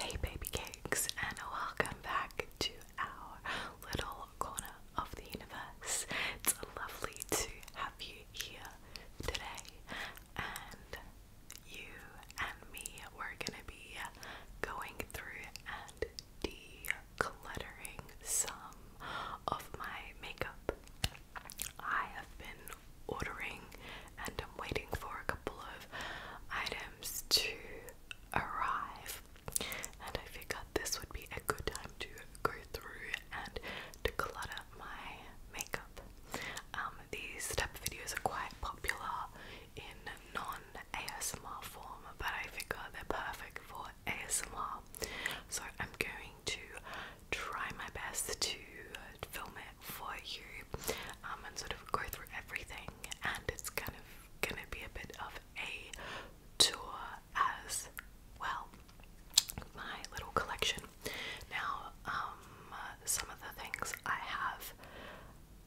Hey, baby cakes, and welcome back to our little corner of the universe. It's lovely to have you here today, and you and me, we gonna be going through and decluttering some of my makeup. I have been ordering and I'm waiting for a couple of items to arrive, and I figured this would be a good time to go through and declutter my makeup. Um, these type of videos are quite popular in non-ASMR form, but I figure they're perfect for ASMR. So I'm going to try my best to film it for you um, and sort of go through everything. And it's kind of gonna be a bit of a tour as well. My little collection. Now, um, some of the things I have,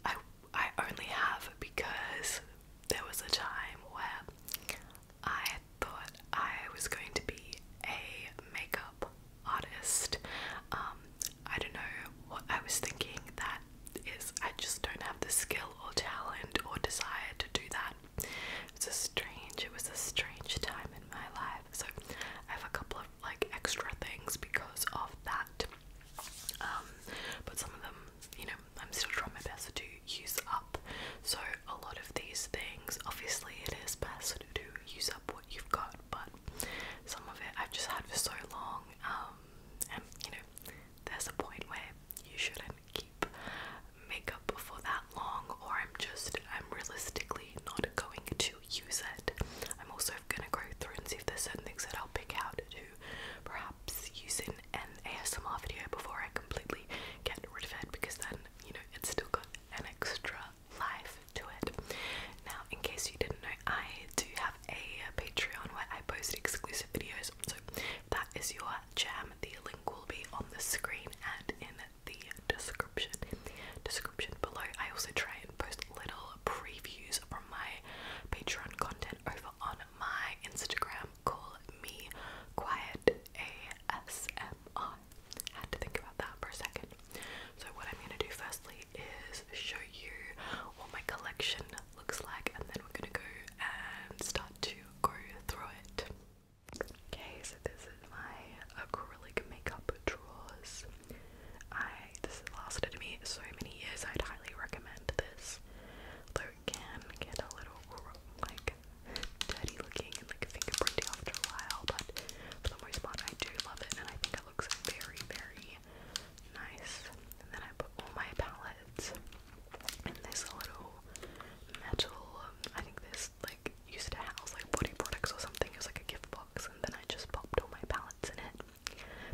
I I only have because there was a time where I thought I was going to be a makeup artist. Um, I don't know what I was thinking that is I just don't have the skill or talent or desire to do that. It's a strange it was a strange time in my life. So I have a couple of like extra things because of that. Um, but some of them, you know, I'm still trying my best to use up. So a lot of these things, obviously, it is best to use up what you've got, but some of it I've just had for so long, um, and you know, there's a point where you shouldn't keep makeup for that long, or I'm just, I'm realistically not going to use it. I'm also gonna go through and see if there's certain things that I'll pick out to perhaps using an ASMR video before I completely get rid of it because then, you know, it's still got an extra life to it. Now, in case you didn't know, I do have a Patreon where I post exclusive videos, so that is your jam. The link will be on the screen and in the description. description below, I also try and post little previews from my Patreon content over on my Instagram. Call me Quiet ASMR. Had to think about that for a second. So what I'm gonna do firstly is show you what my collection looks like, and then we're gonna go and start to go through it. Okay, so this is my acrylic makeup drawers. I this has lasted me so many years. I'd highly recommend this. it can get a little like dirty looking and like fingerprinty after a while, but for the most part, I do love it, and I think it looks very, very nice. And then I put all my palettes in this little metal. Um, I think this like used to house like body products or something. It was like a gift box, and then I just popped all my palettes in it.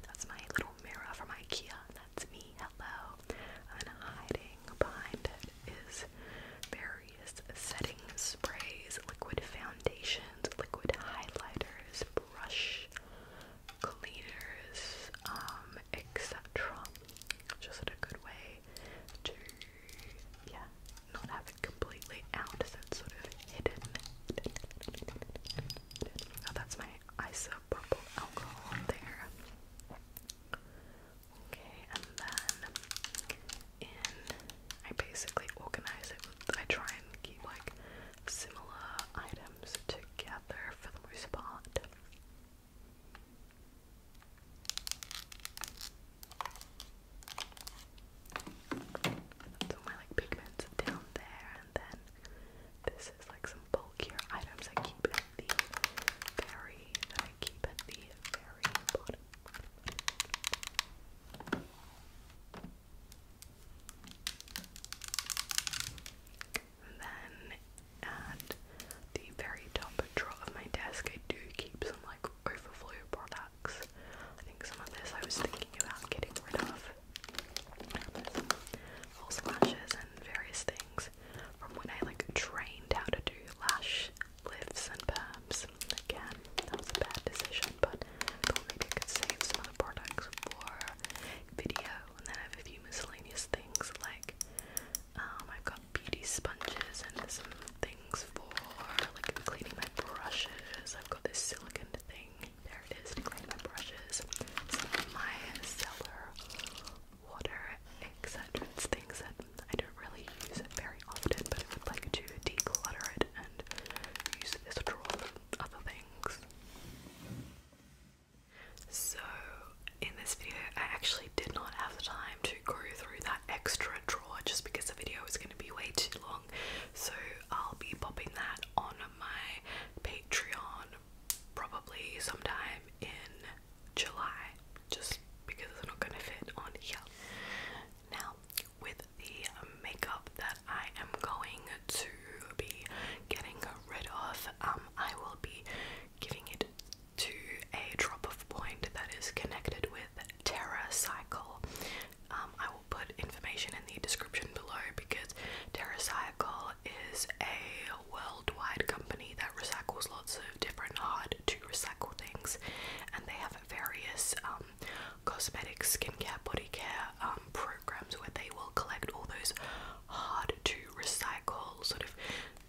That's my little mirror from IKEA. That's me. Hello. And hiding behind it is various setting sprays, liquid foundations, liquid highlighters, brush cleaners, um, etc. Just a good way to yeah, not have it completely out, so it's sort of hidden. Oh, that's my isopropyl alcohol there. Okay, and then in I basically organize it I try and keep like similar items together for the most part. That's all my like pigments down there and then this is like some bulkier items I keep at the very that I keep at the very bottom. then at the very top drawer of my desk, I do keep some like overflow products. I think some of this I was thinking about getting rid of, false lashes and various things from when I like trained how to do lash lifts and perms. Again, that was a bad decision, but I thought maybe I could save some products for video and then I have a few miscellaneous things like um, I've got beauty sponges and some things for like cleaning my brushes. I've got this silicon thing there it is to clean my brushes, some my cellar water, etc. things that I don't really use very often, but I would like to declutter it and use this drawer for other things. So, in this video, I actually did not have the time to go through that extra drawer just because the video is going to be way too long. So, I'll be popping that on my Patreon probably sometime in July just because it's not gonna fit on here. Now, with the makeup that I am going to be getting rid of, um, I will be giving it to a drop of point that is connected with Terra Cycle. Um, I will put information in the description below because Terra Cycle is a worldwide company that recycles lots of different hard to recycle things, and they have various um, cosmetic, skincare, body care um, programs where they will collect all those hard to recycle sort of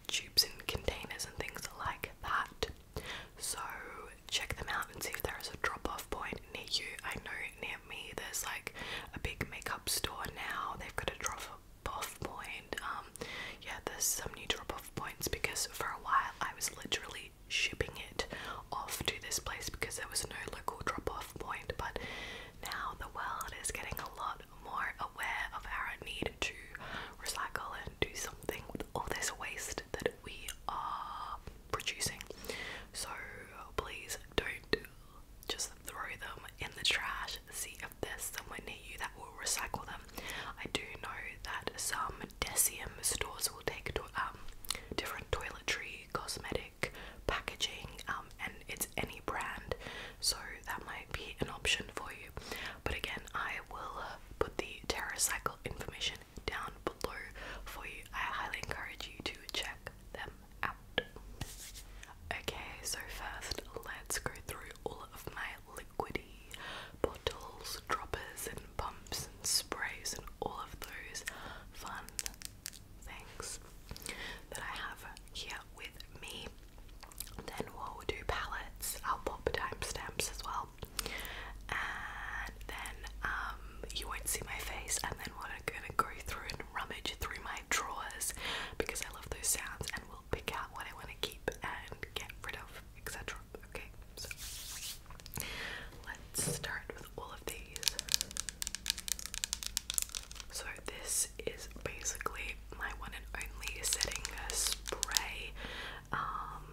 tubes and containers and things like that. So check them out and see if there is a drop off point near you. I know near me there's like a big makeup store now. They've got a drop off point. Um, yeah, there's some new drop off points because for a while I was literally shipping it off to this place because there was no local drop off point, but now the world is getting a lot more aware of our need to recycle and do something with all this waste that we are producing. So please don't just throw them in the trash. See if there's somewhere near you that will recycle them. I do know that some Deciem stores will take um, different toiletry, cosmetic packaging, um, and it's any brand, so that might be an option for you. But again, I will put the TerraCycle information down below for you. I highly encourage you to check them Okay, so first let's go through all of my liquidy bottles, droppers, and pumps and sprays and all of those fun things that I have here with me. Then we'll do palettes. I'll pop timestamps as well. And then um, you won't see my face and then we're gonna go through and rummage through my drawers because I love those sounds and will pick out what I want to keep and get rid of, etc. Okay, so let's start with all of these. So, this is basically my one and only setting spray. Um,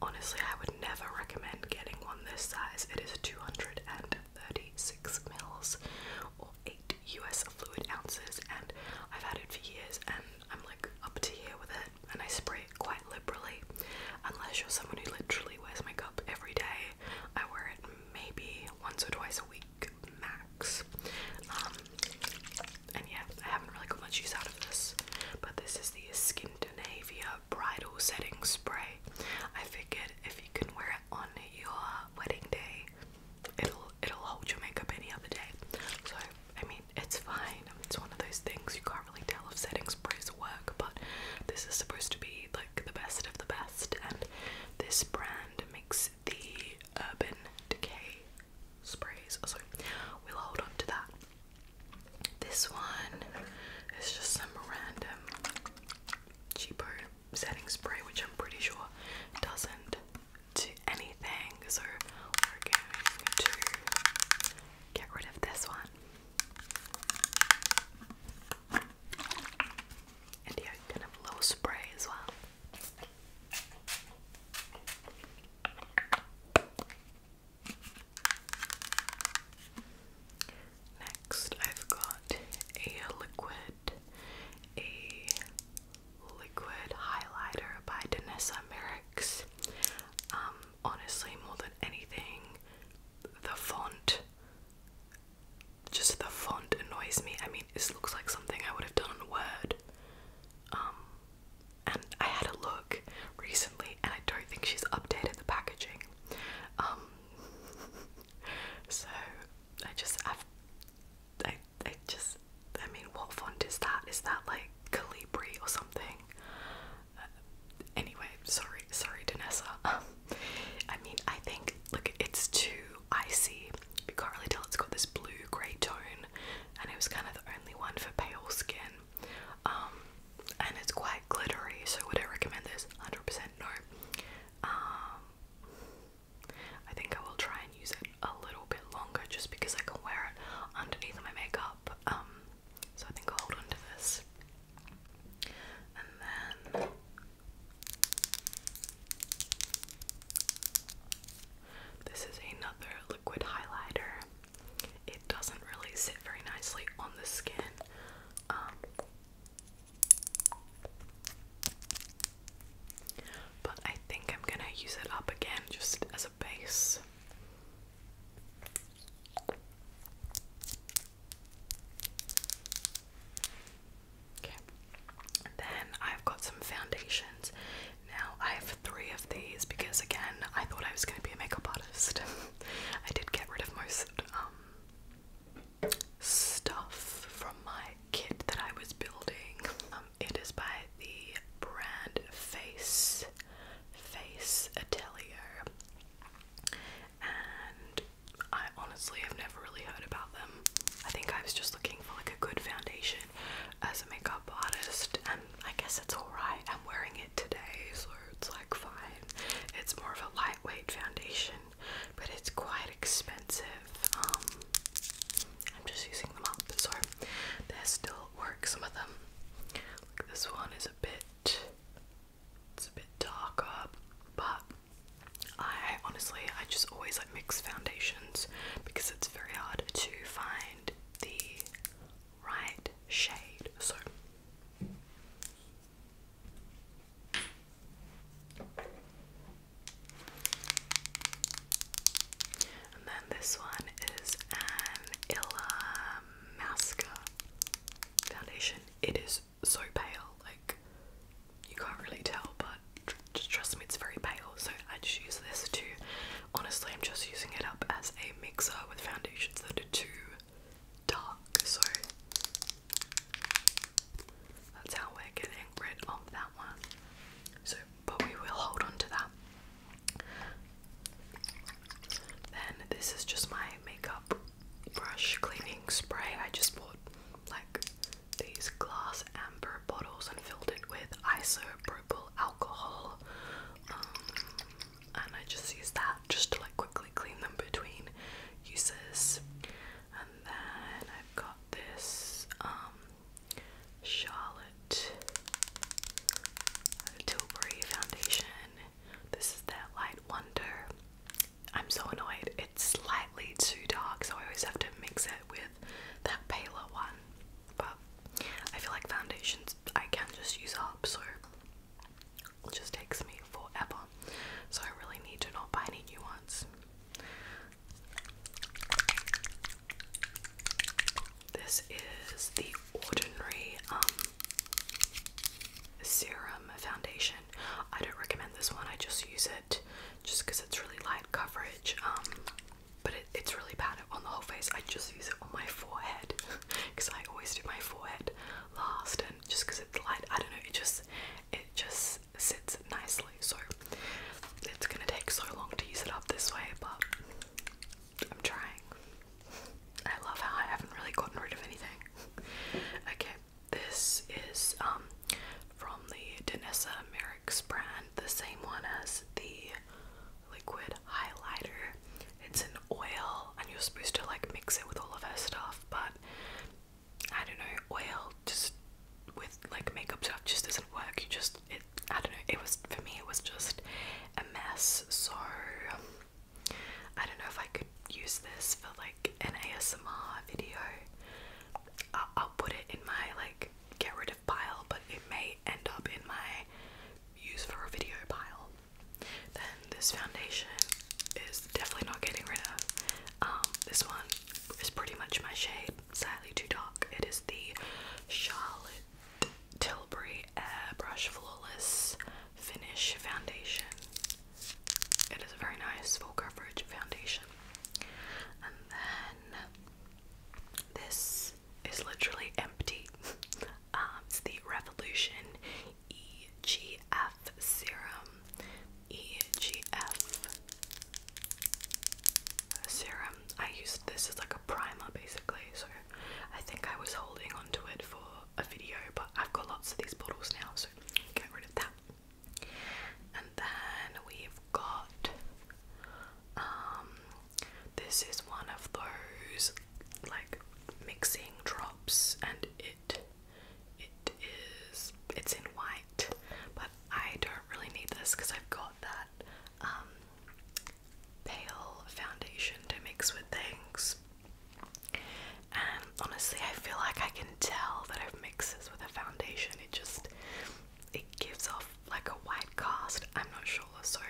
honestly, I would never recommend getting one this size, it is 236 mils eight US fluid ounces, and I've had it for years, and I'm like up to here with it, and I spray it quite liberally. Unless you're someone who literally wears makeup every day, I wear it maybe once or twice a week max. Um, and yeah, I haven't really got much use out of this, but this is the Skindinavia Bridal Setting Spray. I figured if you can wear it on your wedding day, it'll it'll hold your makeup any other day. So I mean, it's fine. It's one of those things you can't really tell if setting sprays work, but this is supposed to be like the best of the best, and this brand makes the Urban Decay sprays. So we'll hold on to that. This one is just some random cheapo setting spray, which I'm pretty sure doesn't do anything. So we're going to get rid of this one. And yeah, you can little spray as well. Next, I've got a liquid a liquid highlighter by Danessa Merricks. Um, honestly, more than anything, the font just the font annoys me. I mean, this looks like something I would have done in Word. Um, and I had a look recently, and I don't think she's updated the packaging. Um, so I just I, I just, I mean, what font is that? Is that like Calibri or something? Uh, anyway, sorry, sorry, Danessa. Um, I mean, I think, look, it's too icy. You can't really tell it's got this blue grey tone, and it was kind of the only one for pale skin. Um, and it's quite glittery, so would I recommend this? 100% no. Um, I think I will try and use it a little bit longer just because I can wear it underneath my makeup. Um, so I think I'll hold on this. And then this is another liquid highlighter. It doesn't really sit very nicely on the skin. Um, but I think I'm gonna use it up again just as a base. Okay, then I've got some foundations. Now I have three of these because, again, I thought I was going to be a makeup artist. I did get rid of most um, stuff from my kit that I was building. Um, it is by the brand Face Face Atelier, and I honestly have never really heard about them. I think I was just looking for like a good foundation as a makeup artist, and I guess it's alright. I'm wearing it today, so it's like fine. It's more of a lightweight foundation but it's quite expensive. Um, I'm just using them up, so they still work. Some of them, this one, is a bit, it's a bit darker, but I honestly, I just always like mix foundations because it's very hard to find the right shade. So. And then this one is an Illamasqua foundation. It is so pale, like you can't really tell, but just trust me, it's very pale. So I just use this to, honestly, I'm just using it up as a mixer with foundations that are too dark. So that's how we're getting rid of that one. So, but we will hold on that. Then this is just my makeup brush cleaning spray. I just bought like these glass amber bottles and filled it with isopropyl alcohol. Um, and I just use that just to like quickly clean them between uses. And then I've got this um, Charlotte Tilbury foundation. This is their light wonder. I'm so annoyed. It's slightly too dark, so I always have to mix it with that paler one. But I feel like foundations I can just use up, so it just takes me forever. So I really need to not buy any new ones. This is the Ordinary um, Serum Foundation. I don't recommend this one, I just use it just because it's really light coverage. Um, but it, it's really bad on the whole face. I just use it on my forehead because I always do my forehead last, and just because it's light, I don't know. It just, it just sits nicely, so it's gonna take so long to use it up this way, but I'm trying. I love how I haven't really gotten rid of anything. Okay, this is um from the Danessa Merrick's brand, the same one as the liquid highlighter. It's an oil, and you're supposed to like mix it with all of her stuff, but I don't know, oil just with like makeup stuff just doesn't work. You just it I don't know, it was for me it was just a mess. So um, I don't know if I could use this for like an ASMR video. I'll, put it in my like get rid of pile, but it may end up in my use for a video pile. Then this foundation is definitely not getting rid of. Um, this one is pretty much my shade slightly too dark. It is the Charlotte Tilbury Airbrush Flawless Finish Foundation. It is a very nice full coverage foundation. And then this is literally empty. Um, it's the Revolution EGF Serum E G F serum. I used this as like a primer basically, so I think I was holding onto it for a video, but I've got lots of these bottles now, so get rid of that. And then we've got um, this is one of those like mixing drops and it it is it's in white but I don't really need this because I've got that um, pale foundation to mix with things. And honestly, I feel like I can tell that I've mixed this with a foundation. It just it gives off like a white cast. I'm not sure, so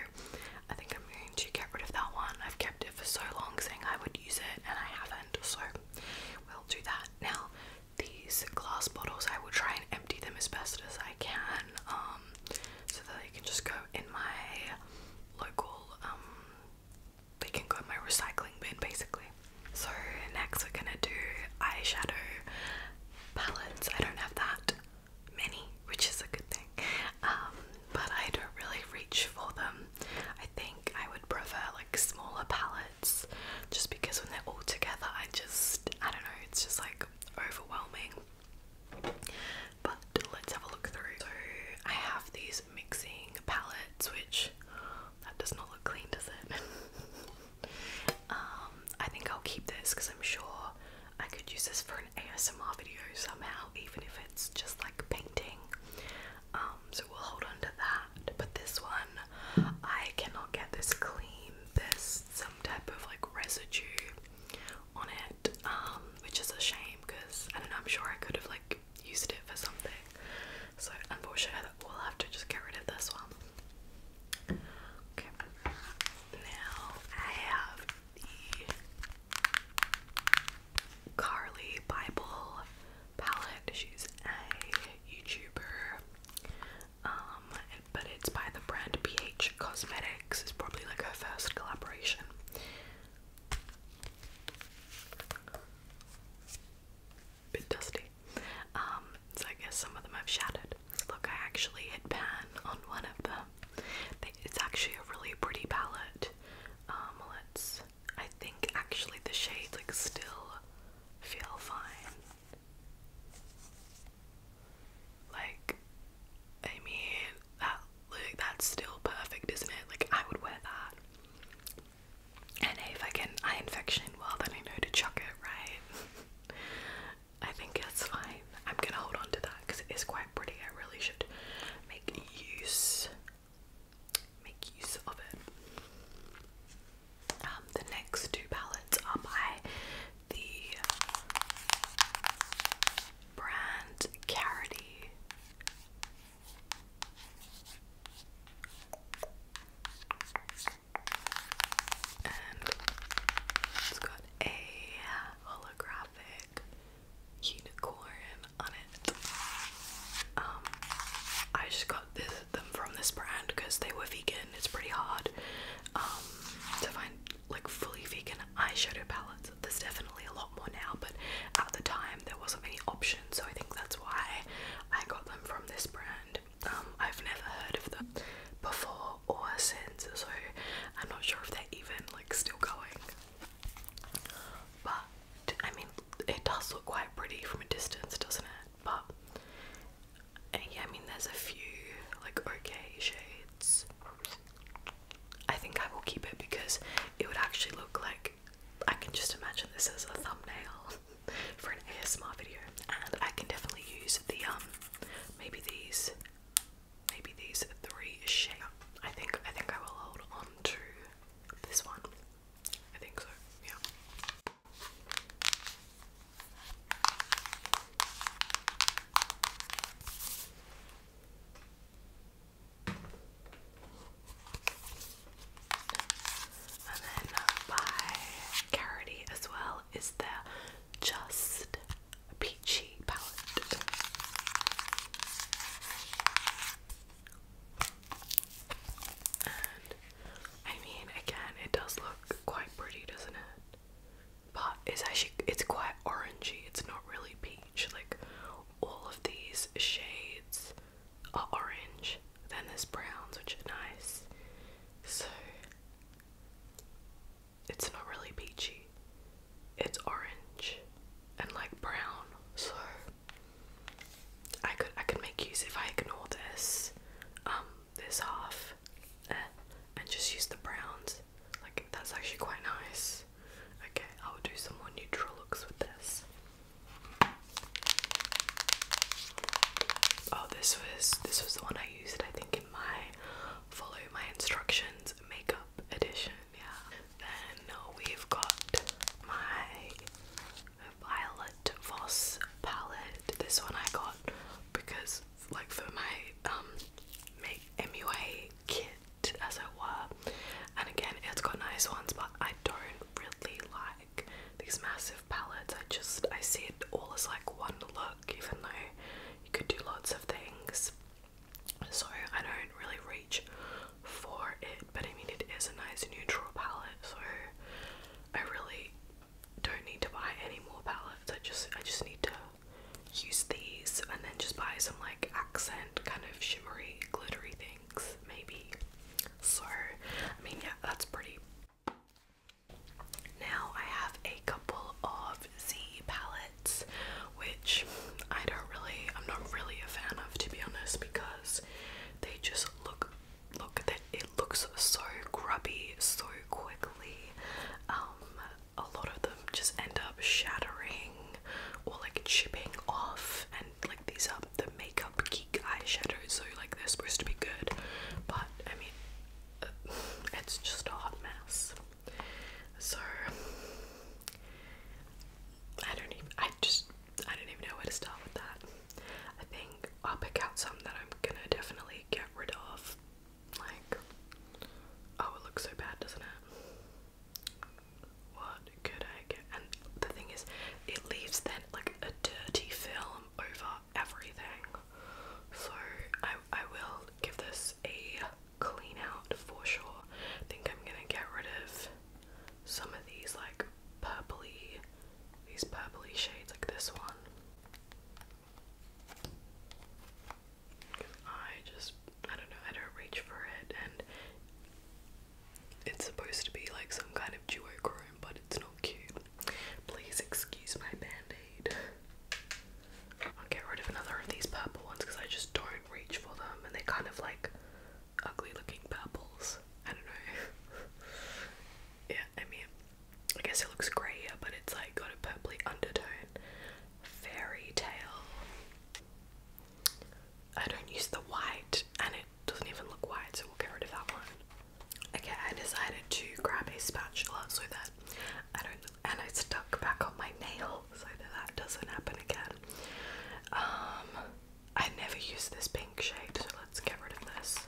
I think I'm going to get rid of that one. I've kept it for so long, saying I would use it, and I haven't. So we'll do that now these glass bottles. I will try and empty them as best as I can um, so that they can just go in my local, um, they can go in my recycling bin basically. So, next we're gonna do eyeshadow palettes. I don't have that many, which is a good thing, um, but I don't really reach for them. I think I would prefer like smaller palettes just because when they're all together, I just, I don't know, it's just like overwhelming. But let's have a look through. So I have these mixing palettes, which that does not look clean, does it? Um, I think I'll keep this because I'm sure I could use this for an ASMR video somehow, even if it's just like painting. Um, so we'll hold on to that. But this one, I cannot get this clean. This some type of like residue on it, um, which is a shame because I don't know, I'm sure I could have like used it for something. So, unfortunately, we'll have to just get rid of this one. Okay, now I have the Carly Bible palette. She's a YouTuber um, but it's by the brand BH Cosmetics. It's probably like her first collaboration. Bit dusty. Um, so I guess some of them have shattered. Look, I actually hit pan on one of them. It's actually a really pretty palette. Um, let's. I think actually the shades like still feel fine. Like, I mean, that look, that's still perfect, isn't it? Like, I would wear that. And if I get an eye infection, well, then I know to chuck it, right? I think it's fine. I'm gonna hold on to that because it is quite pretty. I really should make use, make use of it. Um, the next two palettes are by the brand Carity. And it's got a holographic unicorn on it. Um, I just got this them from this brand because they were vegan. It's pretty hard um, to find like fully vegan eyeshadow palettes. There's definitely a lot more now, but at the time there wasn't many options, so I think that's why I got them from this brand. Um, I've never heard of them before or since, so I'm not sure if they're even like still going. But I mean, it does look quite pretty from a distance, doesn't it? But yeah, I mean, there's a few like okay shades. I think I will keep it because it would actually look like I can just imagine this as a thumbnail for an ASMR video, and I can definitely use the um maybe these maybe these three shades. I think I think I will hold on to this one. I think so. Yeah. And then by Carity as well is their Just Peachy palette. And I mean, again, it does look quite pretty, doesn't it? but it's actually it's quite orangey. It's not really peach. Like all of these shades are orange. Then there's browns, which are nice. So it's not really peachy. It's orange and like brown. So I could I could make use if I ignore this um this half Eh, and just use the browns. Like, that's actually quite nice. Okay, I'll do some more neutral looks with this. Oh, this was this was the one I used, I think, in my follow my instructions makeup edition. Yeah. Then we've got my violet Voss palette. This one I got because like for my um make MUA kit as it were. And again it's got nice ones but I don't really like these massive palettes. I just I see it all as like one look even though you could do lots of things. So I don't really reach for it, but I mean it is a nice neutral palette, so I really don't need to buy any more palettes. I just I just need to use these and then just buy some like accent kind of shimmery glittery things maybe. So I mean yeah that's pretty. Now I have a couple of Z palettes which I don't really I'm not really a fan of to be honest because they just look look that looks so grubby so quickly. Um, a lot of them just end up shattering or like chipping off, and like these are the makeup geek eyeshadows, so like they're supposed to be good, but I mean, uh, it's just a hot mess. So I don't even. I just. I don't even know where to start with that. I think I'll pick out some that I'm gonna definitely get rid of like, oh, it looks so bad, doesn't it? What could I And the thing is, it leaves then like a dirty film over everything. So I I will give this a clean out for sure. I think I'm gonna get rid of some of these like purpley, these purpley shades like this one. I just I don't know, I don't reach for it and it's supposed to be like some kind of jewel duochrome, but it's not cute. Please excuse my band-aid. I'll get rid of another of these purple ones because I just don't reach for them and they're kind of like ugly looking purples. I don't know. yeah, I mean I guess it looks grayer, but it's like got a purpley undertone. Fairy tale. I don't use the white, and it doesn't even look white, so we'll get rid of that one. Okay, I decided to grab a spatula so that I don't, and I stuck back on my nail so that that doesn't happen again. Um, I never use this pink shade, so let's get rid of this.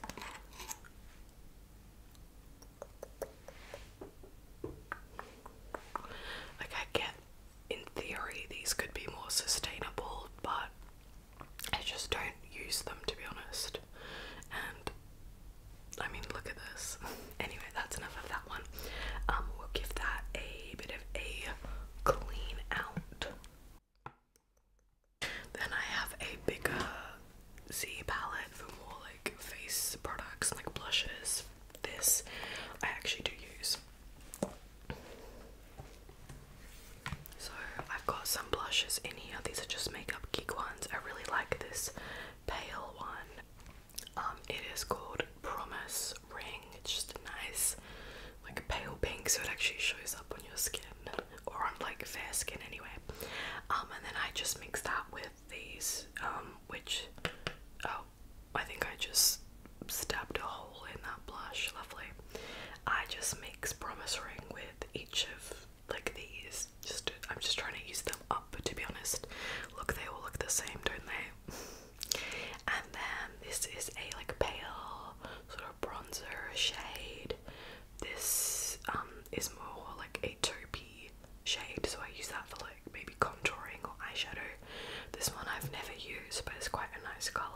Like, I get in theory these could be more sustainable, but I just don't use them to be honest. And I mean, look at this. Anyway, that's enough of that one. Um, we'll give that a bit of a clean out. Then I have a bigger Z palette for more like face products like blushes. This I actually do use. So I've got some blushes in here. These are just makeup geek ones. I really like this pale one. Um, it is called Promise Ring. It's just a nice, like pale pink, so it actually shows up on your skin or on like fair skin anyway. Um, and then I just mix that with these, um, which, oh, I think I just stabbed a hole in that blush, lovely. I just mix promise ring with each of, like, these. Just, I'm just trying to use them up, to be honest. Look, they all look the same, don't they? And then this is a, like, pale sort of bronzer shade. This um, is more like a taupey shade, so I use that for like maybe contouring or eyeshadow. This one I've never used, but it's quite a nice colour.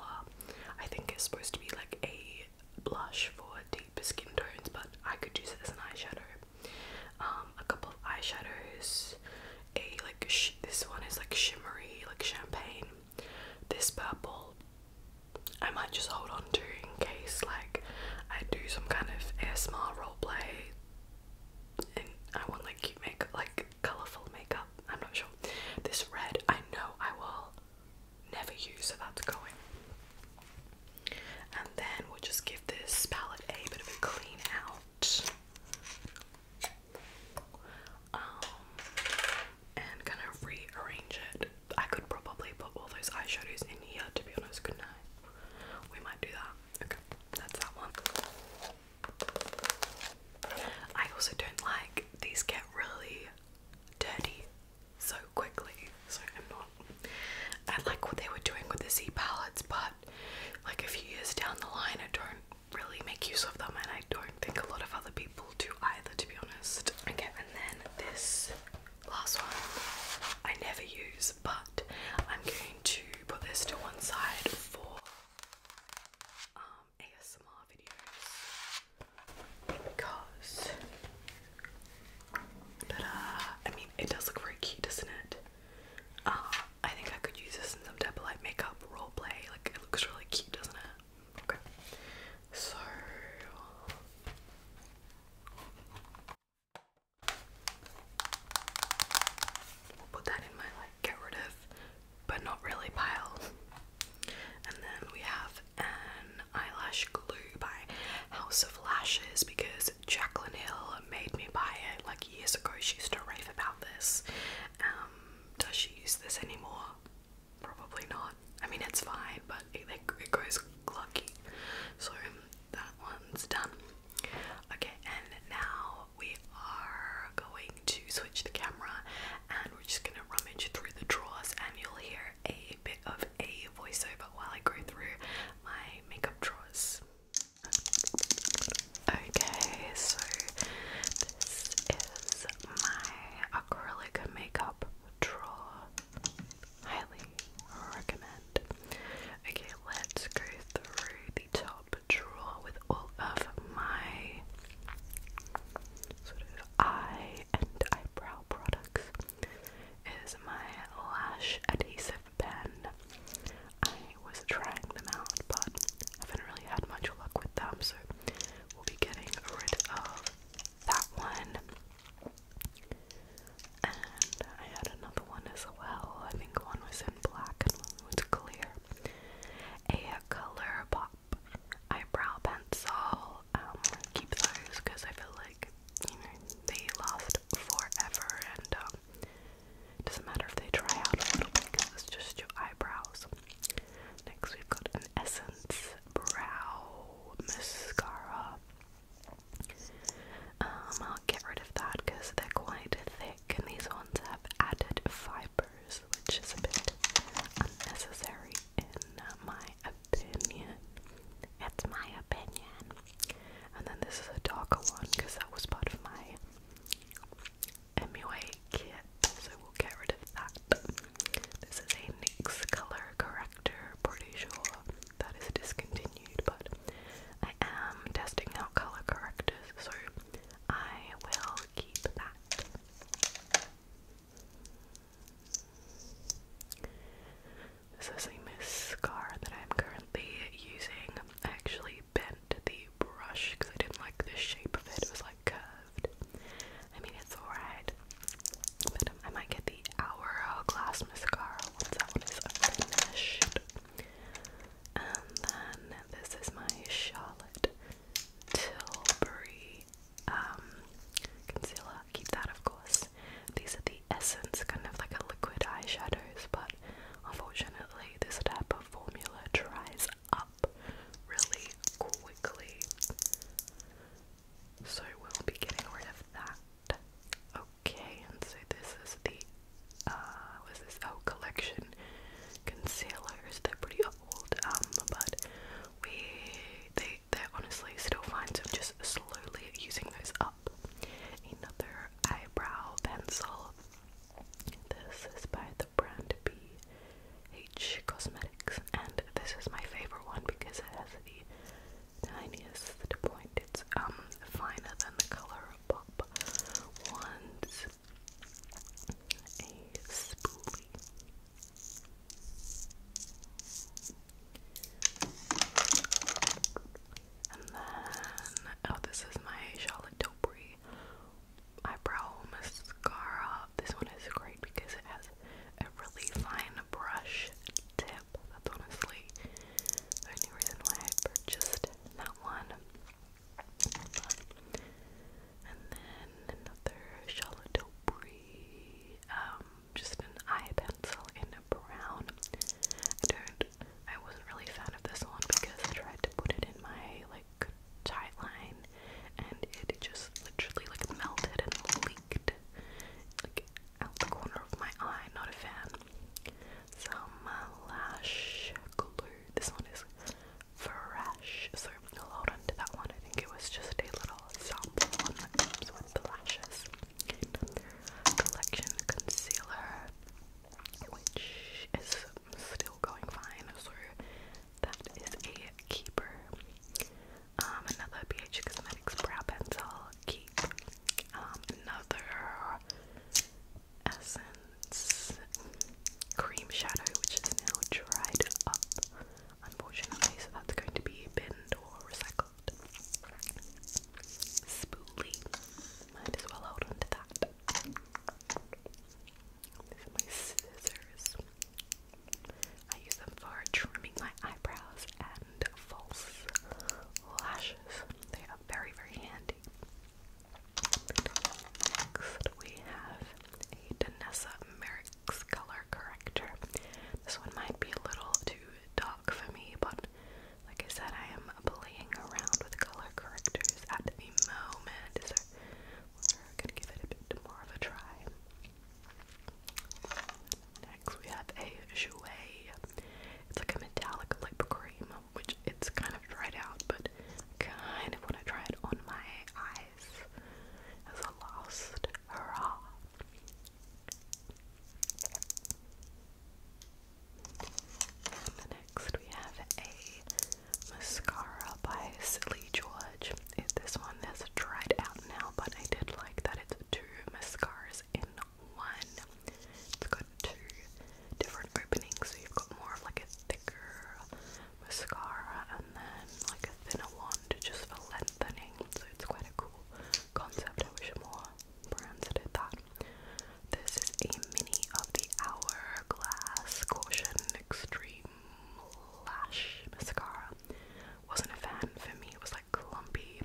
I think it's supposed to be like a blush for deeper skin tones, but I could use it as an eyeshadow. Um, a couple of eyeshadows. A like this one is like shimmery, like champagne. This purple, I might just hold on to in case like I do some kind of ASMR roll roleplay, and I want like cute makeup, like colorful makeup. I'm not sure. This red, I know I will never use, so that's going. And then we'll just give this palette a bit of a clean out. Um, and kind of rearrange it. I could probably put all those eyeshadows in here to be honest, couldn't we might do that. Okay, that's that one. I also don't like these get really dirty so quickly, so I'm not. I like what they were doing with the Z palettes, but like a few years down the line, I don't really make use of them, and I don't think a lot of other people do either, to be honest. Okay, and then this Last one I never use, but I'm going to put this to one side for um, ASMR videos because. But uh, I mean, it does look very cute, doesn't it? Uh, I think I could use this in some type of like makeup role play. Like, it looks really cute, doesn't it? Okay, so. We'll put that in my like get rid of, but not really pile. And then we have an eyelash glue by House of Lashes because Jacqueline Hill made me buy it like years ago. She used to rave about this. Um, does she use this anymore? Probably not. I mean, it's fine, but it, it goes clucky. So that one's done. Okay, and now we are going to switch the camera and we're just gonna rummage through the drawers and you'll hear a bit of a voiceover while I go through my makeup drawers. Okay, so this is my acrylic makeup drawer. Highly recommend. Okay, let's go through the top drawer with all of my sort of eye and eyebrow products. Is my lash adhesive pen. I was trying them out, but haven't really had much luck with them, so we'll be getting rid of that one. And I had another one as well. I think one was in black and one was clear. A color pop eyebrow pencil. Um, keep those because I feel like you know they last forever, and um, doesn't matter if they dry out a little bit because it's just your eyebrows. Next, we've got an Essence Brow Mascara. Um, I'll get rid of that because they're quite thick, and these ones have added fibers, which is a bit unnecessary in uh, my opinion. It's my opinion. And then this is a darker one because that was part of my MUA kit, so we'll get rid of that. This is a NYX color corrector, pretty sure that is discontinued, but I am testing out color correctors, so I will keep that. This is a mascara that I'm currently using. I actually bent the brush because I didn't like the shape of it. It was like curved. I mean, it's alright. But I might get the Hourglass mascara once that one is finished. And then this is my Charlotte Tilbury um, concealer. Keep that, of course. These are the Essence, kind of like a liquid eyeshadows, but unfortunately, this type of formula dries up really quickly. So we'll be getting rid of that. Okay, and so this is the uh, was this out oh, collection concealers. They're pretty old, um, but we they they're honestly still fine, so just slowly using those up. Another eyebrow pencil. This is by the brand BH Cosmetics, and this is my favorite one because it has the tiniest point. It's um finer than the color oh, this is my Charlotte Tilbury eyebrow mascara. This one is great because it has a really fine brush tip. That's honestly the only reason why I purchased that one. And then another Charlotte Tilbury, um, just an eye pencil in a brown. I don't, I wasn't really a fan of this one because I tried to put it in my, like, line, and it just literally like melted and leaked like out the corner of my eye. Not a fan some uh, lash glue. This one is fresh, so I'll hold on that one. I think it was just a little sample that comes with the lashes. Collection concealer, which is still going fine, so that is a keeper. Um, another BH Cosmetics brow pencil, keep. Um, another Essence Cream Shadow, which is now dried up, unfortunately, so that's going to be binned or recycled. Spoolie. Might as well hold on that. These are my scissors. I use them for trimming my eyebrows and false lashes. They are very, very handy. Next, we have a Danessa Merrick's color corrector. This one might be a little too dark for me, but like I said, I am playing around with color correctors at the moment, so we're gonna give it a bit more of a try. Next, we have a Jouer. It's like a metallic lip cream which it's kind of dried out, but kind of want to try it on my eyes as a last hurrah. And next we have a mascara by Silly George. this one is dried out now, but I did like that it's two mascaras in one. It's got two different openings, so you've got more of like a thicker mascara and then like a thinner one just for lengthening. So it's quite a cool concept. I wish more brands did that. This is a mini of the Hourglass Caution Extreme Lash Mascara. Wasn't a fan for me, it was like clumpy.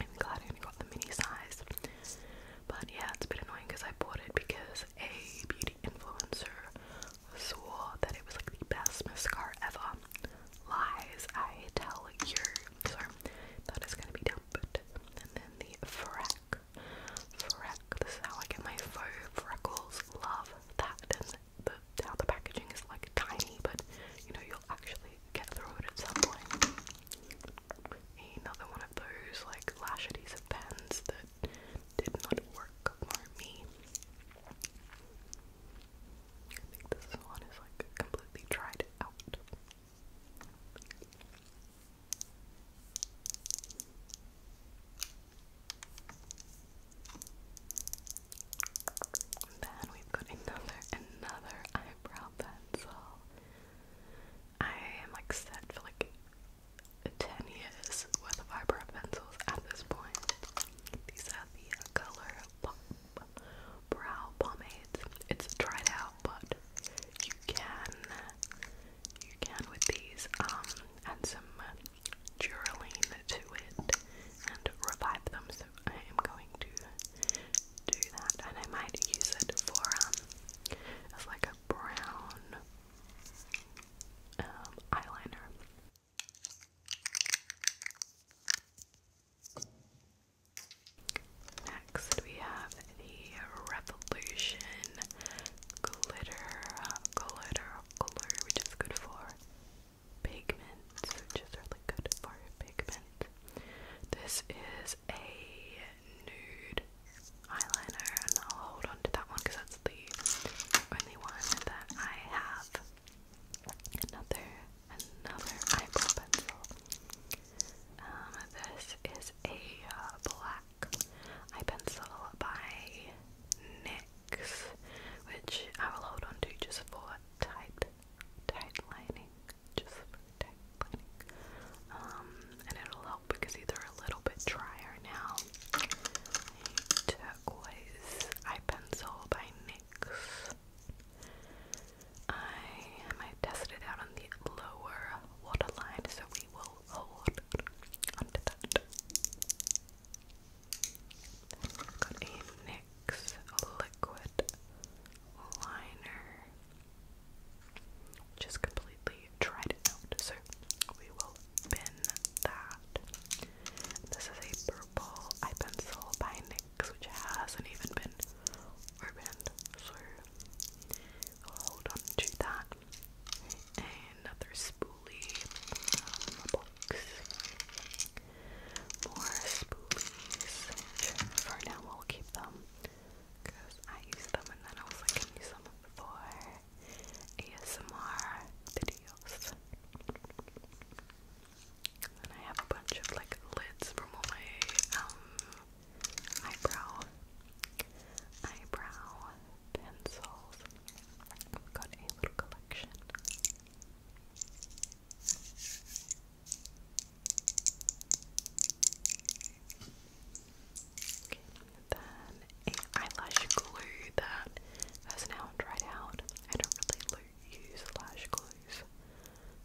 I'm glad I only got the mini size. But yeah, it's a bit annoying because I bought it because a beauty influencer swore that it was like the best mascara ever. Lies, I tell you. So that is gonna be dumped. And then the Freck. Freck, this is how I get my faux freckles. Love that. And the, how the packaging is like tiny, but you know, you'll actually get through it at some point another one of those like lash adhesive pens that did not work for me. I think this one is like completely dried out. then we've another, another eyebrow pencil. I am like set for like 10 years worth of eyebrow pencils at this point. These are the color brow pomades. It's dried out, but you can you can with these um add some Duraline to it and revive them. So I am going to do that and I might use it for um, as like a brown um, eyeliner. Next we have the Revolution glitter glitter glitter which is good for pigment, which is really good for pigment. This is a nude eyeliner, and I'll hold on to that one because that's the only one that I have. Another, another eyebrow pencil. Um, this is a uh, black eye pencil by NYX, which I will hold on to just for tight, tight lining, just um, and it'll help because these are a little bit drier now. Turquoise eye pencil by NYX. I might test it out on the lower waterline, so we will hold onto that. NYX liquid liner just completely tried it out. So we will bin that. This is a purple eye pencil by NYX, which hasn't even been opened, so hold on to that. Another spoolie uh, More spoolies, for now we'll keep them because I used them and then I was like, I can use them for ASMR videos. then I have a bunch of like lids from all my um eyebrow eyebrow pencils. I've got a little collection then eyelash glue that has now dried out. I don't really use lash glues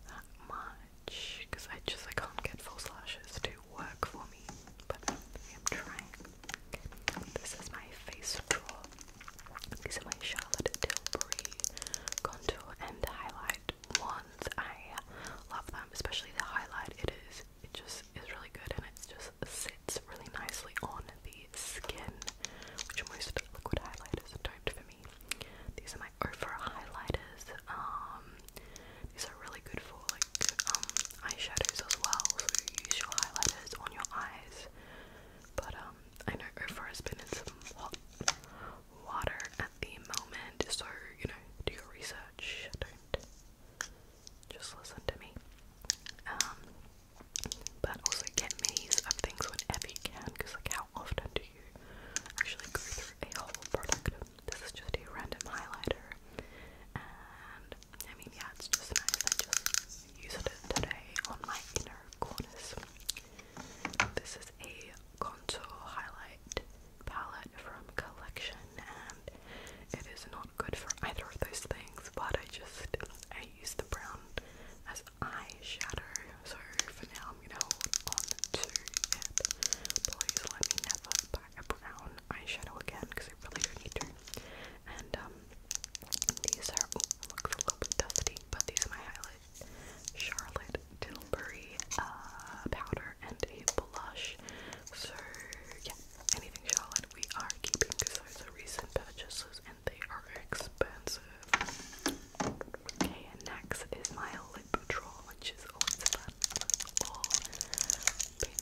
that much because I just I can't get false lashes to work for me. But I'm trying. This is my face drawer. These are my Charlotte Tilbury contour and highlight ones. I love them, especially the highlight. It is it just is really good and it just sits really nicely on the skin, which most liquid highlighters don't for me. These are my over highlighters. Um, these are really good for like um eyeshadows as well. So you use your highlighters on your eyes. But um, I know over has been in some hot water at the moment, so you know, do your research. Don't just listen to me. Um, but also get me's of things whenever you can, because like how often do you actually go through a whole product? This is just a random highlighter, and I mean yeah, it's just nice. I just used it today on my inner corners. This is a contour highlight palette from Collection, and it is not good for either of those things, but I just, I use the brown as eyeshadow, so for now I'm gonna hold on to it. Please let me never buy a brown eyeshadow again, because I really don't need to. And, um, these are, oh, it looks a little bit dusty, but these are my highlight Charlotte Tilbury uh, powder and a blush. So yeah, anything Charlotte we are keeping because those are recent purchases and they are expensive. Okay, and next is my lip drawer, which is always All pink.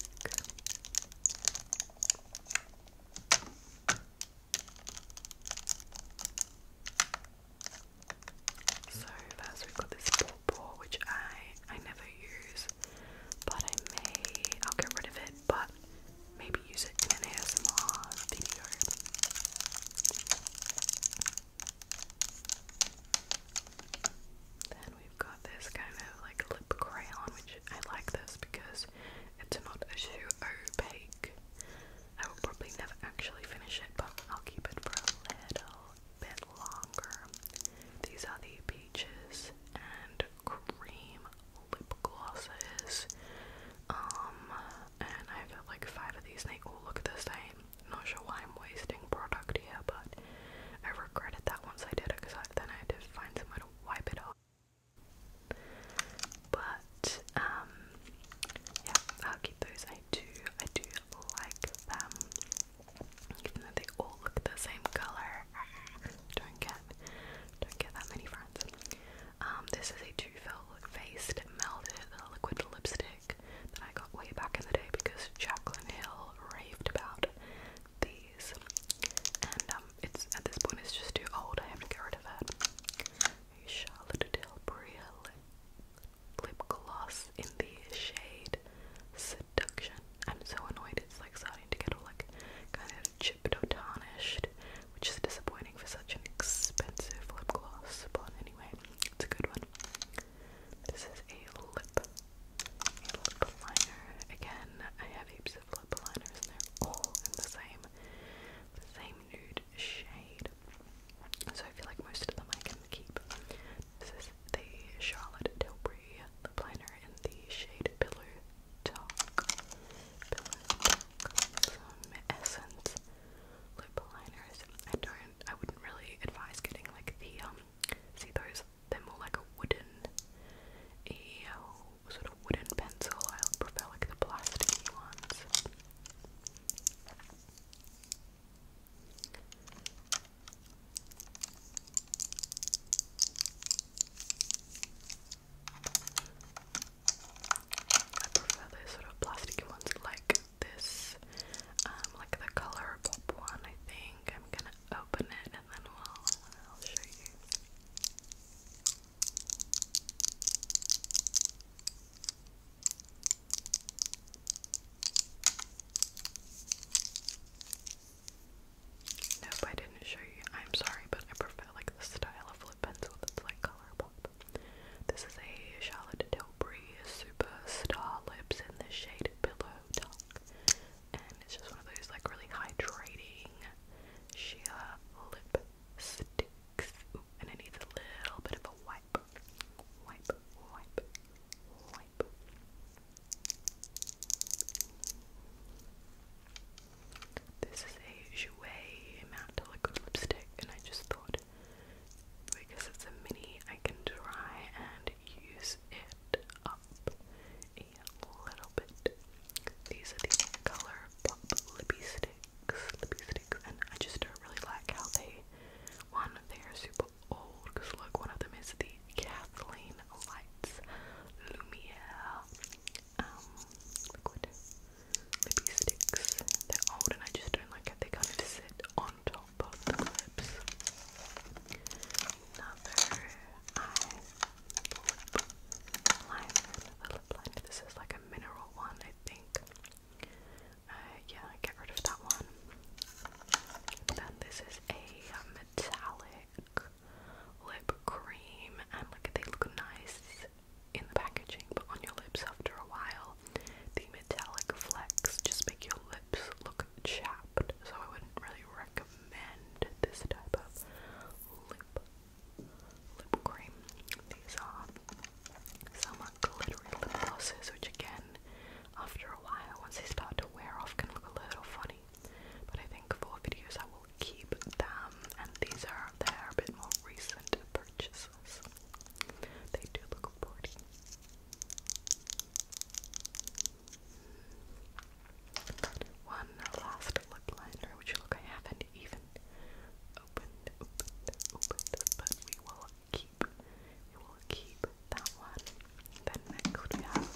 So first we've got this pawpaw, which I I never use but I may, I'll get rid of it, but maybe use it in an ASMR video. Then we've got this kind of like lip crayon, which I like this because it's not so opaque. I will probably never actually finish it, but I'll keep it for a little bit longer. These are the peaches and cream lip glosses. Um, and I've got like five of these and they all oh, look the same. Not sure why I'm wasting product here, but I regretted that once I did it because then I had to find somewhere to wipe it off. But um, yeah, I'll keep those. I do, I do like them. Even though they all look the same color. Don't get don't get that many friends. Um, this is a two-faced melted liquid lipstick that I got way back in the day because Jaclyn Hill raved about these. And um, it's at this point it's just too old, I have to get rid of it. Charlotte Tilbury lip, lip gloss in the shade seduction. I'm so annoyed it's like starting to get all like kind of chipped or tarnished, which is disappointing for such an expensive lip gloss. But anyway, it's a good one. This is a lip, a lip liner. Again, I have heaps of lip liners and they're all in the same the same nude shade. So I feel like most of them I can keep. This is the Charlotte Tilbury lip liner in the shade Pillow Talk. Some Essence lip liners. I don't, I wouldn't really advise getting like the, um, see those, they're more like a wooden, uh, sort of wooden pencil. I prefer like the plasticky ones. I prefer those sort of plasticky ones like this, um, like the color pop one. I think I'm gonna open it and then I'll show you. Nope, I didn't show you. I'm sorry, but I prefer like the style of lip pencil that's like Colourpop. This is a Charlotte Tilbury Superstar Lips in the shade Pillow Talk. And it's just one of those like really hydrating sheer lip sticks. and it needs a little bit of a wipe. Wipe, wipe, wipe. This is a Jouer matte liquid lipstick, and I just thought because it's a mini, I can try and use it up a little bit. These are the color lipsticks, lippy and I just don't really like how they. One, they super old because look, one of them is the Kathleen Lights Lumiere um, liquid maybe They're old and I just don't like it. They kind of sit on top of the clips. Another eye lip liner, This is like a mineral one, I think. Uh, yeah, get rid of that one. Then this is a metallic lip cream, and like they look nice in the packaging, but on your lips after a while, the metallic flecks just make your lips look chapped. So I wouldn't really recommend this type of lip lip cream. These are some glittery lip glosses, which again, after a while, once they start to wear off, can look a little funny many. But I think for videos I will keep them and these are they bit more recent purchases. They do look pretty. One last lip liner, which look I haven't even opened, opened, opened, but we will keep, we will keep, that one. Then next we have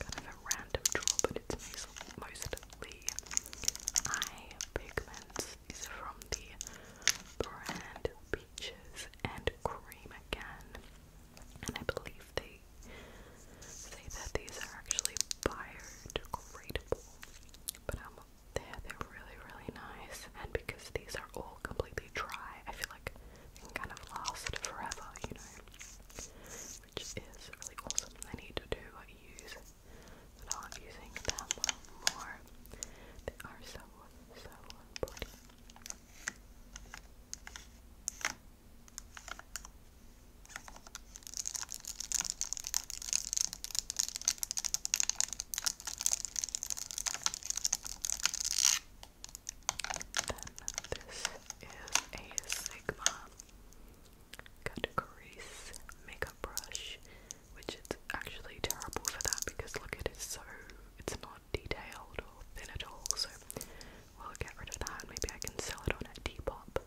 kind of a random draw, but it's mostly eye pigments. from the brand Peaches and Cream again. And I believe they say that these are actually biodegradable. But um, they're, they're really, really nice. And because these are all completely dry, I feel like they can kind of last forever, you know? which is really awesome. I need to use without using them more. They are so, so pretty this is a Sigma Cut Makeup Brush, which is actually terrible for that because look, it is so, it's not detailed or thin at all, so we'll get rid of that. Maybe I can sell it on at Depop.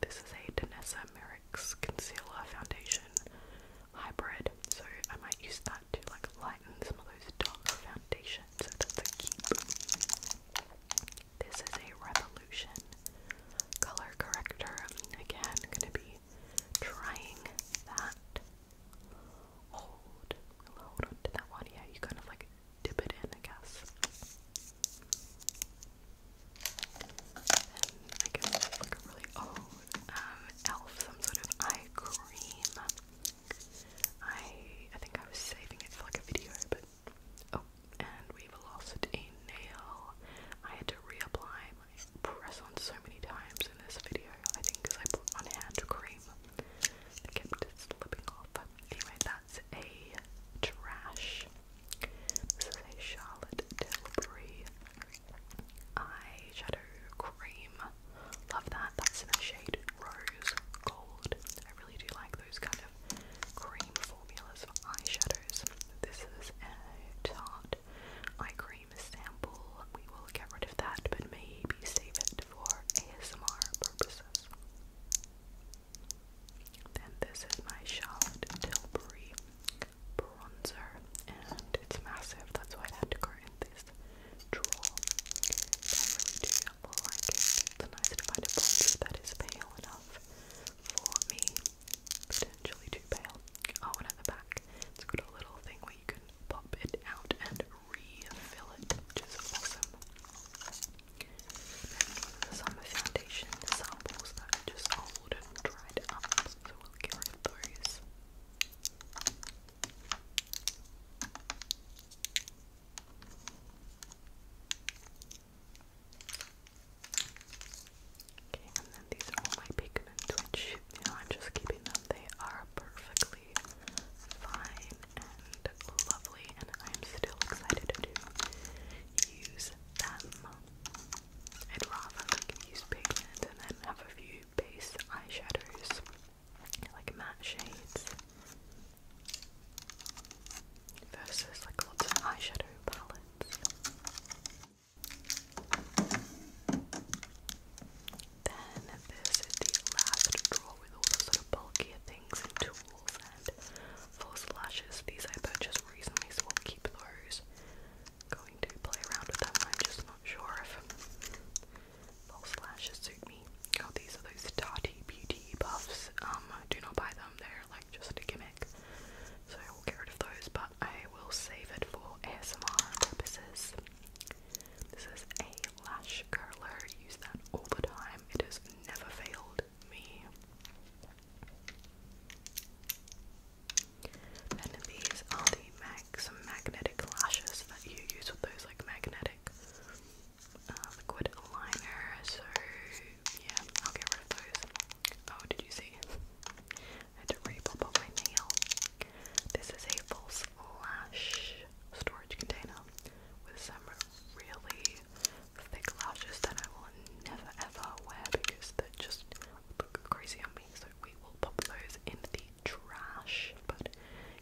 This is a Danessa Merrick's Concealer Foundation Hybrid, so I might use that to like lighten some of those darker foundations, so that's a keep. This is a Revolution color corrector. Again, gonna be trying that. Hold, hold on to that one. Yeah, you kind of like dip it in, I guess. I guess like a really old oh, um, elf, some sort of eye cream. I I think I was saving it for like a video, but Oh, and we've lost a nail. I had to reapply my press on so many times in this video, I think because I put on hand cream. I kept slipping off. Anyway, that's a trash. This is a Charlotte Tilbury eyeshadow cream. Love that. That's in the shade Rose Gold really do like those kind of cream formulas for eyeshadows. This is a Tarte eye cream sample. We will get rid of that, but maybe save it for ASMR purposes. Then this is my Charlotte Tilbury bronzer, and it's massive. That's why I had to go in this drawer. I really do example, the nice divided bond that is pale enough for me, potentially too pale. Oh, and at the back, it's got a little thing where you can pop it out and refill it, which is awesome. Then some foundation samples that are just old and dried up, so we'll get rid of those. Okay, and then these are my bacon and You I'm just keeping them. They are perfectly fine and lovely, and I'm still excited to use them. I'd rather like use pigment and then have a few base eyeshadows, like matte shades, versus like lots of eyeshadow palettes. Then this is the last drawer with all the sort of bulkier things and tools and false lashes. These I purchased recently, so we'll keep those. Going to play around with them. I'm just not sure if false lashes suit me. Oh, these are those Tati Beauty buffs. Um, do not buy them, they're like just a gimmick. So I will get rid of those, but I will save it for ASMR purposes. This is a lash curler, use that all the time. It has never failed me. Then these are the mag some magnetic lashes that you use with those like magnetic uh, liquid liner, so yeah, I'll get rid of those. Oh, did you see? I had to pop up my nail. This is a false lash storage container with some really thick lashes that I will never ever wear because they just look crazy on me. So we will pop those in the trash, but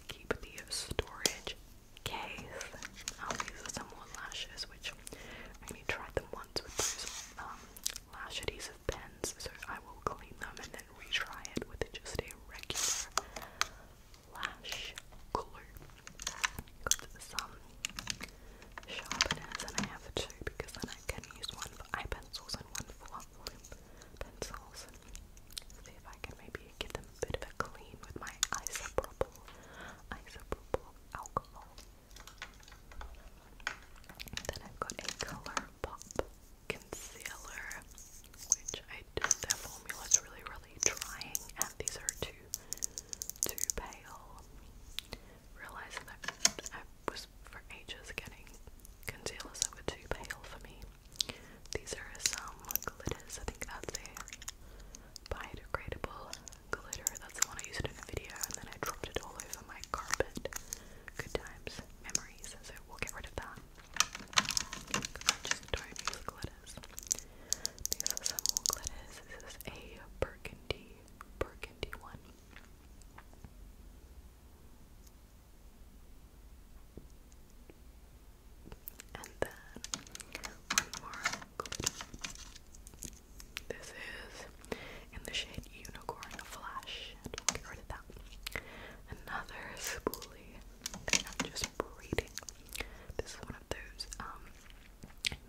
keep the storage case, um, these are some more lashes, which I only tried them once with those um, lash adhesive pens, so I will clean them and then retry it with just a regular lash glue. Got some sharpeners, and I have two because then I can use one for eye pencils and one for pencils. See if I can maybe give them a bit of a clean with my isopropyl, alcohol. then I've got a ColourPop concealer, which I just, formula formula's really, really drying, and these are too, too pale. Realized that I was for ages getting concealers that were too pale for me. These are some glitters, I think that's a biodegradable glitter. That's the one I used in a video and then I dropped it all over my carpet. Good times, memories, so we'll get rid of that. just don't glitters. These are some more glitters. This is a burgundy, burgundy one. And then one more good. This is in the shade Unicorn Flash, get rid of that. Another spoolie just braiding. This is one of those um,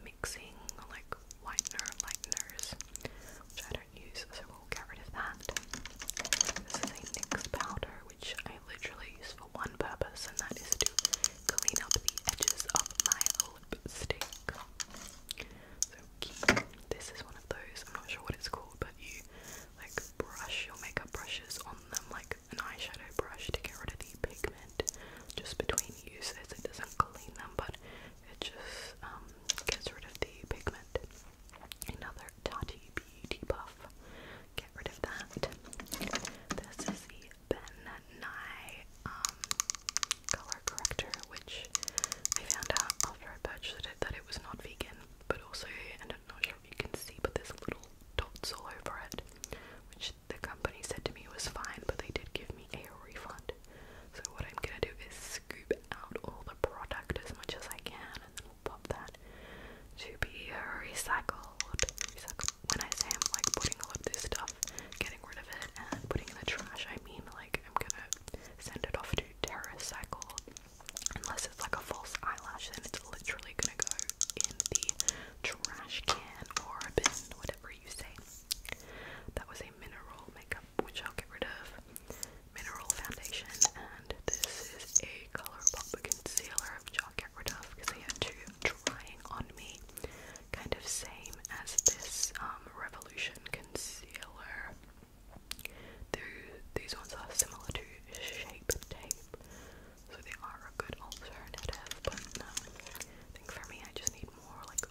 mixing like whitener lighteners, which I don't use, so we'll get rid of that. This is a NYX powder, which I literally use for one purpose, and that is to clean up the edges of my lipstick. So This is one of those. I'm not sure what it's called, but you like brush your makeup brushes on them like an eyeshadow brush to get rid of the pigment just between uses. It doesn't clean them, but it just um, gets rid of the pigment. Another Tati Beauty Buff. Get rid of that. This is Ben Nye um, color corrector, which I found out after I purchased it that it was not vegan, but also, I'm not sure if you can see, but there's little dots all over it, which the company said to me was fine, but they did give me a refund. So what I'm gonna do is scoop out all the product as much as I can, and then pop that to be recycled. When I say I'm like putting all of this stuff, getting rid of it, and putting in the trash, I mean like I'm gonna send it off to TerraCycle. Unless it's like a false eyelash, then it's literally gonna go in the trash can or a bin, whatever you say. That was a mineral makeup, which I'll get rid of. Mineral foundation, and this is a color Colourpop concealer, which I'll get rid of because I had two drying on me. Kind of same as this um, Revolution concealer. they these ones are similar to Shape Tape, so they are a good alternative. But I think for me, I just need more like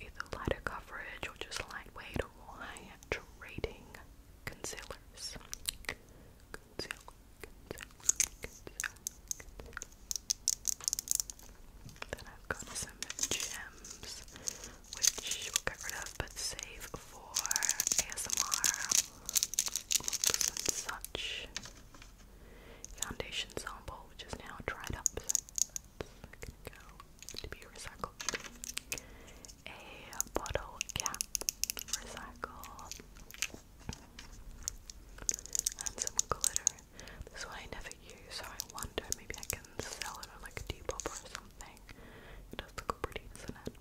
either lighter coverage or just lightweight or concealers. Concealer. Then I've got some gems, which we'll get rid of but save for ASMR looks and such. Foundation sample, which is now dried up, to be recycled. A bottle cap, recycle. And some glitter this one I never use, so I wonder maybe I can sell it on like a Depop or something. It does look pretty, doesn't it?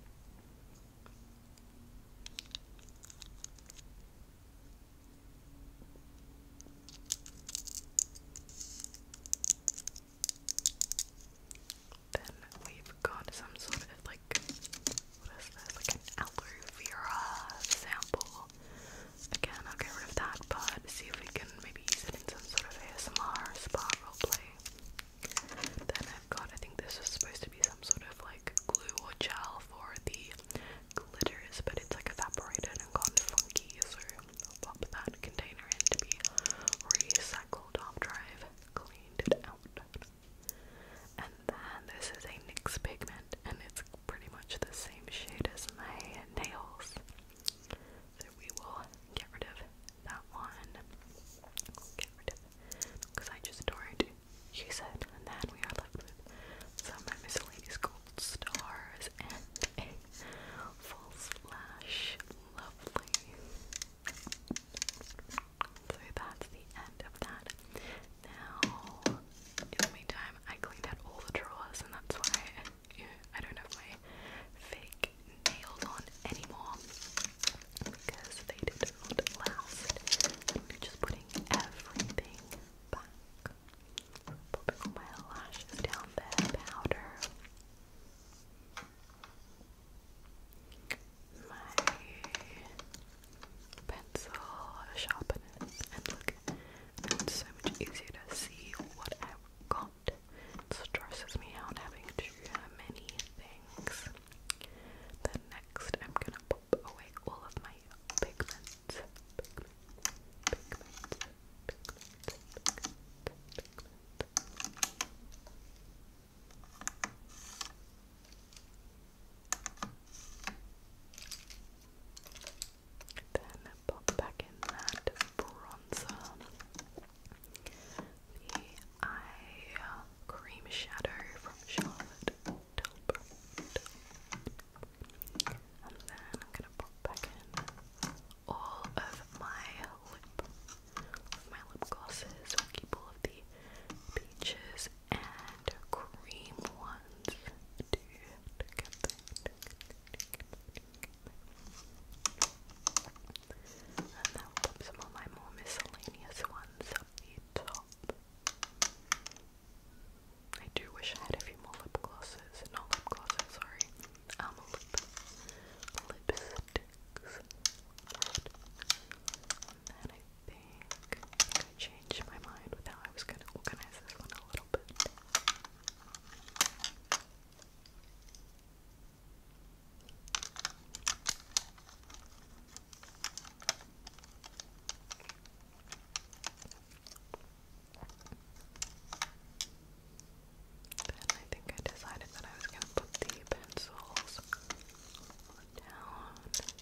Then we've got some sort of like what is this? Like an aloe vera sample. Again, I'll get rid of that, but see if we can maybe use it in some sort of ASMR spa roleplay. Then I've got, I think this is supposed to be some sort of like glue or gel for the glitters, but it's like evaporated and gone funky, so pop that container in to be recycled off drive, cleaned it out. And then this is a NYX pigment, and it's pretty much the same shade as my nails. So we will get rid of that one. get rid of because I just don't use it. And then we are left with some miscellaneous gold stars and full slash. Lovely. So that's the end of that. Now in the meantime, I cleaned out all the drawers, and that's why I don't have my fake nails on anymore because they did not last. I'm just putting everything back. Popping my lashes down there, powder. My pencil sharpeners and look, it's so much easier to see what I've got. It stresses me out having to many things. Then next, I'm gonna pop away all of my pigments. Then pop back in that bronzer, the eye cream shadow from Charlotte Tilbury, and then I'm gonna pop back in all of my lip, all my lip glosses. We'll of the peaches and cream ones. And then i some of my more miscellaneous ones up the top. I do wish I had a few more lip glosses. Not lip glosses, sorry. Um, lip lipsticks. And I changed my mind with I was going to organize this one a little bit. Then I think I decided that I was going to put the pencils down.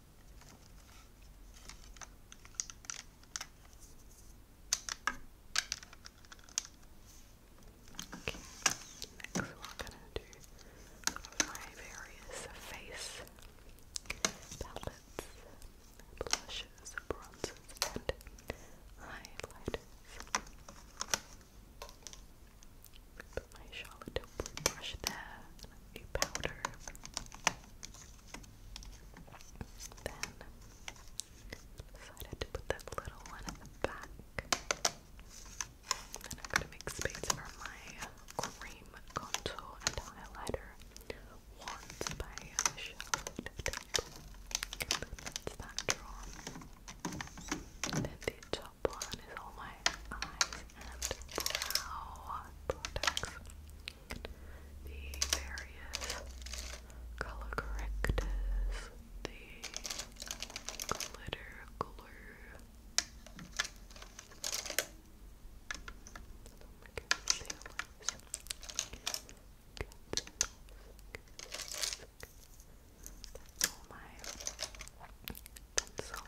Okay, next we're gonna do uh, various face palettes, blushes, bronzes, and highlighters. Put my Charlotte brush that, a powder. Then decided to put that little one at the back. Then I'm gonna make space for my cream contour and highlighter wands by Charlotte Temple. That's that drawn. then the top one is all my eyes and brow products. The various color correctors, the glitter glue. That's all my pencil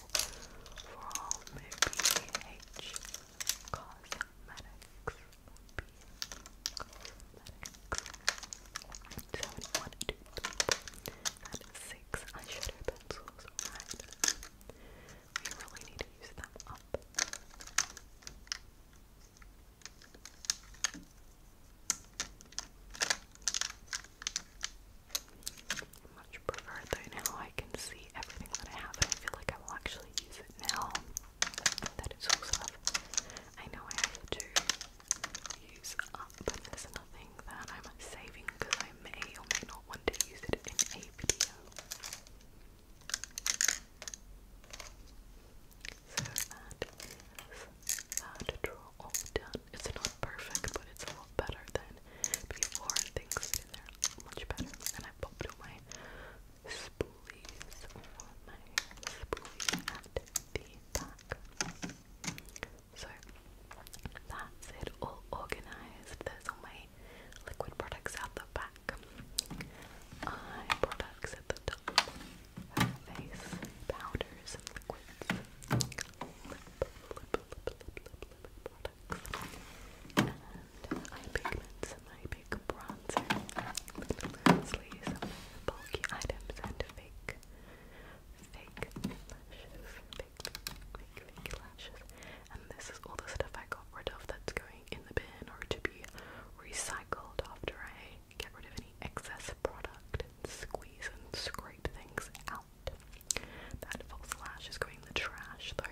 from BH Cosmetics. BH Cosmetics. 71 and 6 eyeshadow pencils, right? We really need to use them up. Okay, much prefer though now I can see everything that I have and I feel like I will actually use it now that it's all stuff I know I have to use up there's nothing that I'm saving because I may or may not want to use it in a video so that is that draw all done. It's not perfect, but it's a lot better than before things in there much better. And I popped all my spoolies, my spoolies at the back. So that's it, all organized. There's all my liquid products at the back, eye products at the top, face powders and liquids, books and eye pigments, my bronzer, lastly some bulky items and fake, fake lashes, fake, fake, lashes and this is all the stuff I got rid of that's going in the bin or to be recycled after I get rid of any excess product and squeeze and scrape things out. That false lash is going in the trash though.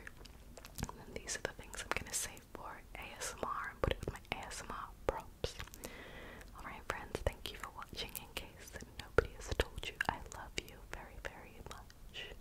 And then these are the things I'm gonna save for ASMR and put it with my ASMR props. Alright, friends, thank you for watching. In case that nobody has told you, I love you very, very much.